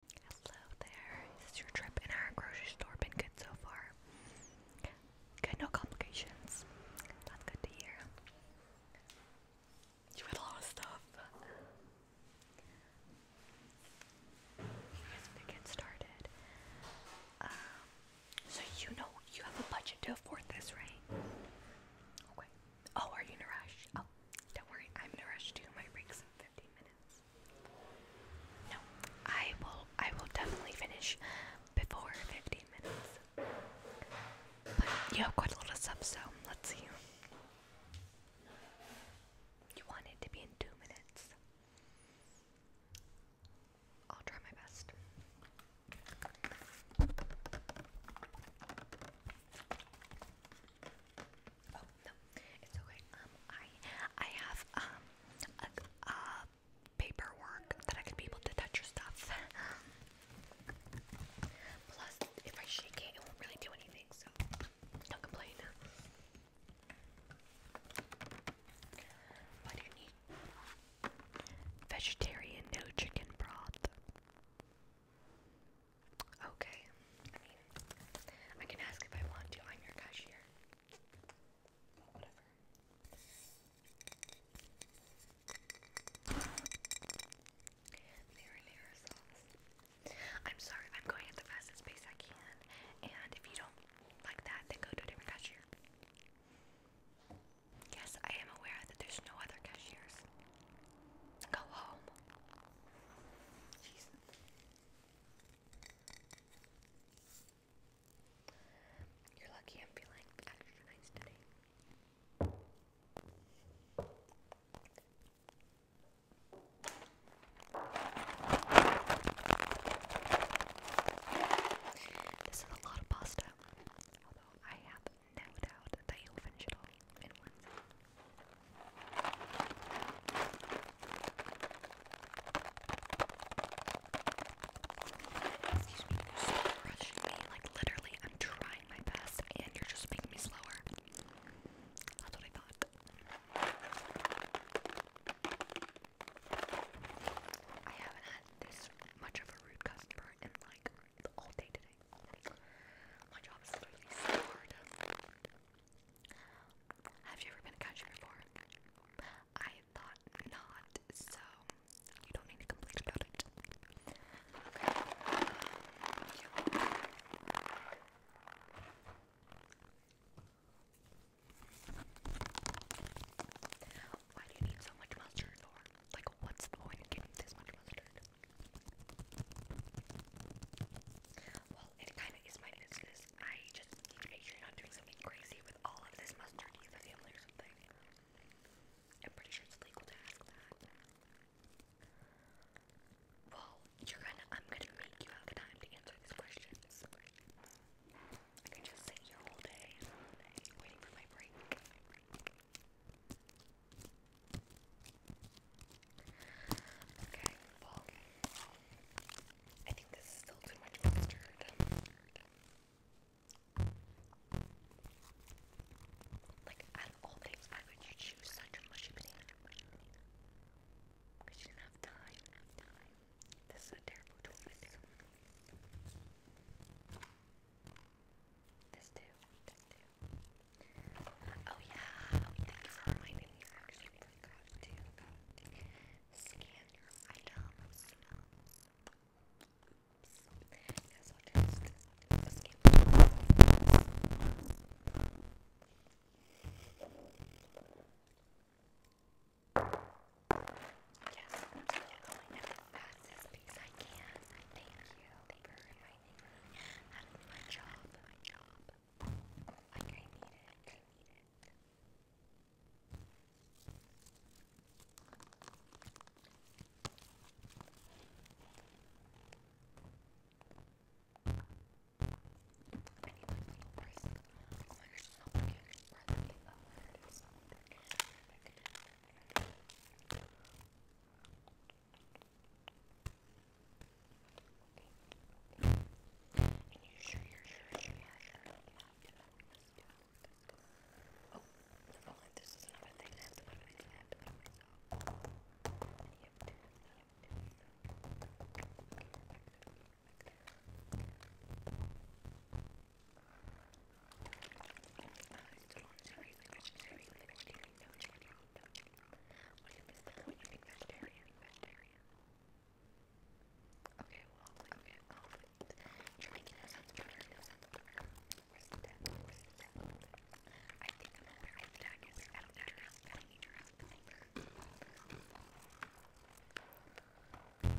Hello there. your trip in our grocery store been good so far? Good, no complications. That's good to hear. You had a lot of stuff. Here's to get started. Um, so you know you have a budget to afford this, right? Okay. Oh, are you in a rush? Oh, don't worry, I'm in a rush too. My break's no, I will I will definitely finish before 15 minutes. But you have quite a lot of stuff, so let's see. You want to be in two minutes. I'll try my best. Oh, um, I have um a, paperwork that I could be able to touch your stuff. Plus, if I shake it, it won't really do anything, so do complain. What do you need? Vegetarian, no chicken broth. Okay. I mean, I can ask if I want to. I'm your cashier. whatever. Mirror, mirror sauce. I'm sorry, I'm going at the fastest pace I can. And if you don't like that, then go to a different cashier. Yes, I am aware that there's no other cashiers. Go home. You're lucky I'm feeling nice today. This is a lot of pasta, although I have no doubt that you'll finish it all in one Excuse me, you rushing me. Like, literally, I'm trying my best, and you're just making me slower. That's what I thought. I haven't had this much of a rude customer in like all day today everything. Have you ever been a cashier before? I thought not, so you don't need to complain about it. Why do you need so much mustard? like, what's the point of getting this much mustard? Well, it kind of is my business. I just make sure you're not doing something crazy with all of this mustard in family or something. I'm pretty sure it's legal to ask that. Well, you're gonna. I'm gonna make you have time to answer these questions. I can just sit here all day waiting for my break. Okay, well, I think this is still too much mustard. Like, out of all things, why would you choose such a mushy potato? Because you have time. This is a terrible choice. This too. This too. Oh yeah. Oh, thank you for reminding me. I actually forgot to, forgot uh, to scan your items. Oops. Yes, I'll just, I'll just scan Yes, yeah, oh my god, passes please, I can't. Thank you for reminding me how my job. My job. Like I need it. I need it. Anyway, first, oh my gosh, it's not working. It's not working. It's and you sure you're sure, sure, yeah, sure, yeah, you know, let's do it, let's go. Oh, no, like this is another thing that's what I did have to do myself. Yep, yep, yep. Okay, back to the back to the Okay, well, okay, um, you're making that sounds better, that sounds better. Where's the death? Where's the death? I think I'm over at the dog is out of that house, but I need your help, thanks. Um, um,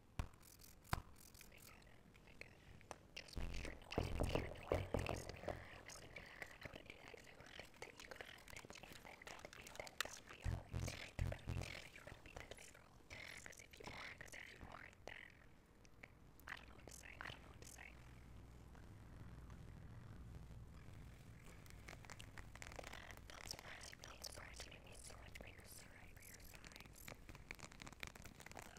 I got it. Just make sure. No, I didn't. Sure, no, I didn't. I guess I wouldn't do that. I wouldn't do that because I would think that you could have been in that. That would be a lie. You better be that. You better be that liberal. Because if you aren't, because if you aren't, then I don't know what to say. I don't know what to say. Not surprised. Not surprised. You made me so much bigger. Sorry for your size. Although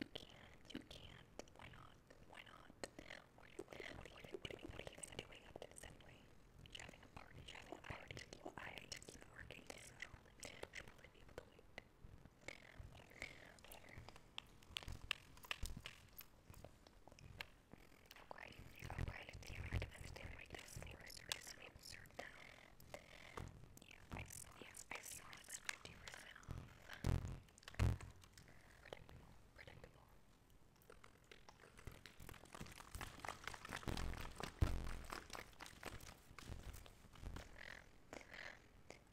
You can't, you can't. Why not? Why not? What are you, what are you, what are you, what are you, what doing up to this anyway? you having a party, having a party. Well, I have keep working, so she'll probably able to wait. Whatever. Whatever. Okay, okay, do you recommend staying like this? Maple syrup, maple syrup shirt now. I saw yeah, it's 50 off. Predictable, predictable.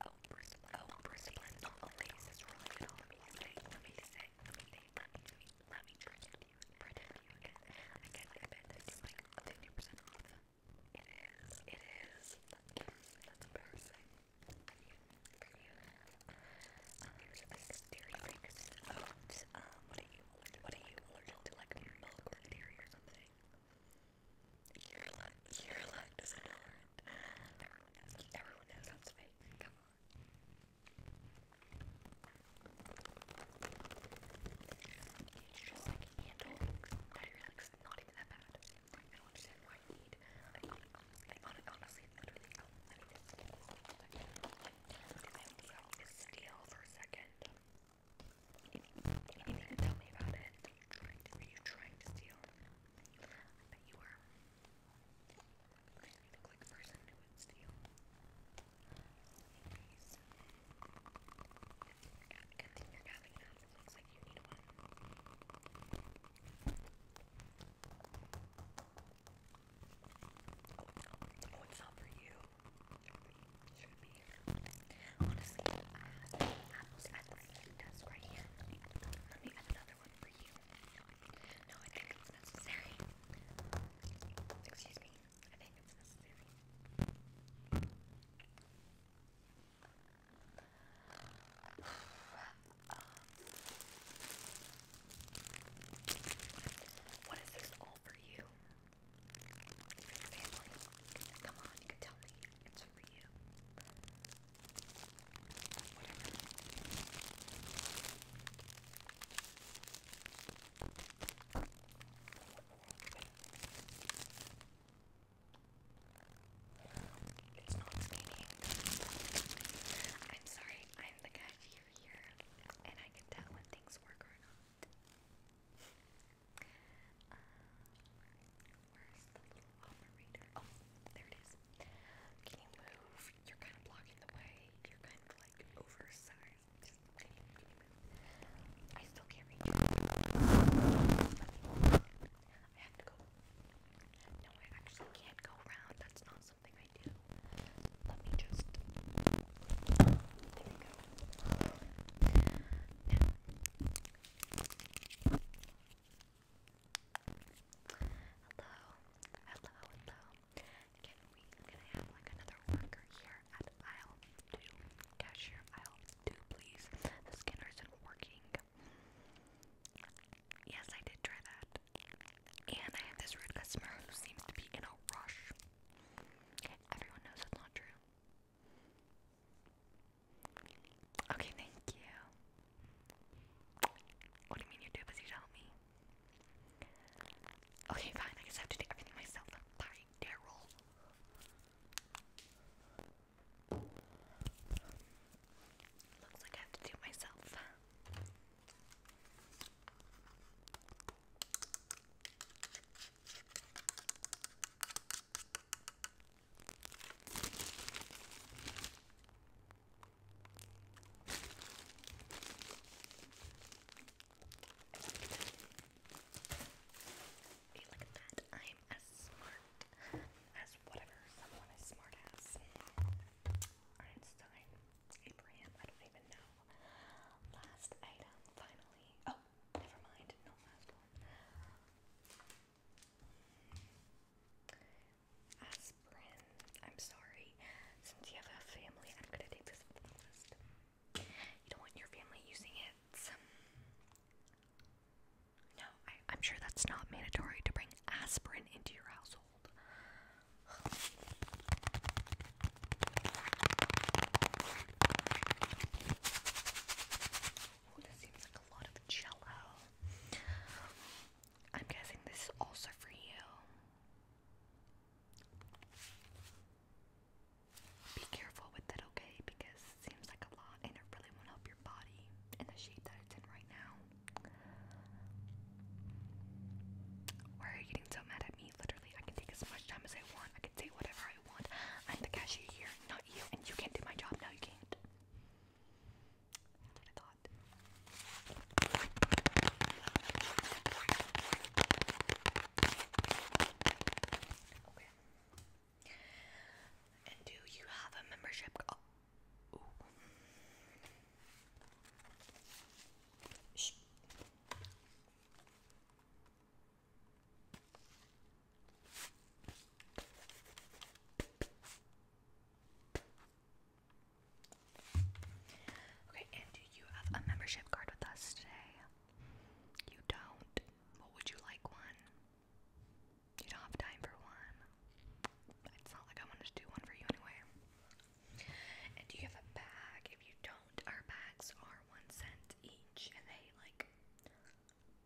Oh, Bruce, oh, Bruce, oh, oh, this Let me say, let me say, let me say, let me, let let me predict you, predict you, and I can't bet like 50 off. It is, it is. That's embarrassing. For you. what are you What are you allergic to? Like milk or dairy or something? You're luck. You're luck Everyone knows Everyone knows that's fake. Come on it's just like a handle that not even that bad. I don't understand why you need. I, steal for a second. If, if you tell me about it, are you trying to, steal? I bet you were. Okay, the click person who would steal. Good thing you're having that. It looks like you need one. Oh, it's not for you. Should be. Honestly, I have apples at the food desk right here. Let me add another one for you. No, I think it's necessary. Excuse me. I think it's necessary. What is this all for you? Come on, you can tell me. It's for you. Whatever. It's not stinking. I'm sorry, I'm the cashier here, and I can tell when things work or not. Uh, where's the little operator? Oh, there it is. Can you move? You're kind of blocking the way. You're kind of like oversized. I still can't reach you. I have to go. No, I actually can't go around. That's not something I do. Let me just. There we go. Now. Hello, hello, hello. Can we can I have like another worker here at aisle two? Cashier aisle two, please. The scanner isn't working. Yes, I did try that. And I have this rude customer who seems to be in a rush. Everyone knows that's not true. Okay, thank you. What do you mean you do? Because you tell me. Okay, fine. I guess I have to do everything myself. Bye, Daryl. Looks like I have to do myself. Hey, look at that. I'm as smart as whatever someone is smart as. Einstein, Abraham, I don't even know. Last item, finally. Oh, never mind. No last one. Aspirin. I'm sorry. Since you have a family, I'm gonna take this off the list. You don't want your family using it. No, I, am sure that's not mandatory to bring aspirin into your household. Oh, this seems like a lot of jello. I'm guessing this is also for you. Be careful with it, okay? Because it seems like a lot and it really won't help your body in the shape that it's in right now. Why are you getting so mad at me? Literally, I can take as much time as I want. I can say whatever I want. I'm the cashier here, not you, and you can't do my job. No, you can't. Okay. And do you have a membership? Oh. Okay, and do you have a membership card with us today? You don't. would you like one? You don't have time for one. It's not like I wanted to do one for you anyway. And do you have a bag? If you don't, our bags are one cent each and they like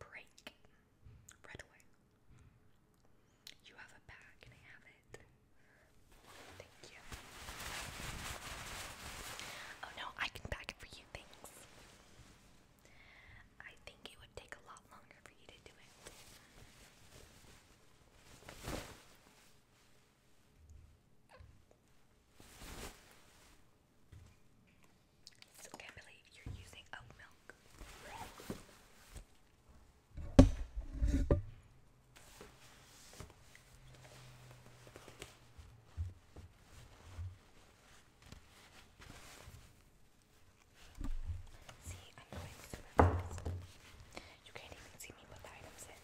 break right away. You have a bag and I have it. Thank you. Oh no, I can pack it for you, thanks. I think it would take a lot longer for you to do it. Still can't believe you're using oat milk. See, I'm going super fast. You can't even see me put the items in.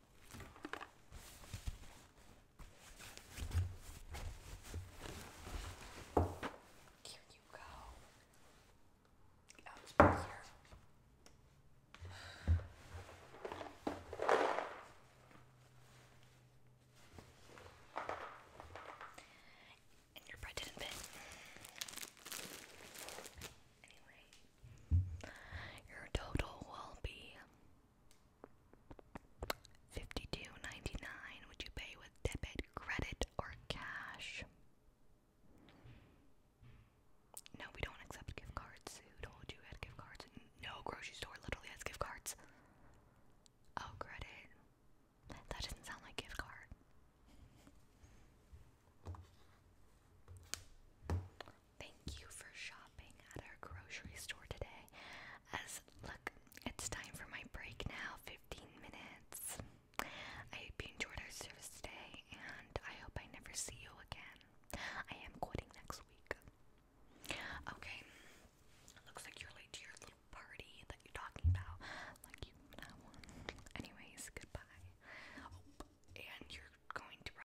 Here you go. I'll just here. And your bread didn't fit. Anyway, your total will be 52 Would you pay with debit, credit, or cash? No, we don't accept gift cards. Who told you we had gift cards? No grocery store literally has gift cards. Oh, credit. That doesn't sound like gift card. Thank you for shopping at our grocery store today. As look, it's time for my break now 15 minutes. I hope you enjoyed our service today, and I hope I never see you again. I am quitting next week. Okay, looks like you're late to your little party that you're talking about. Like you, Anyways, goodbye. Oh, and you're going to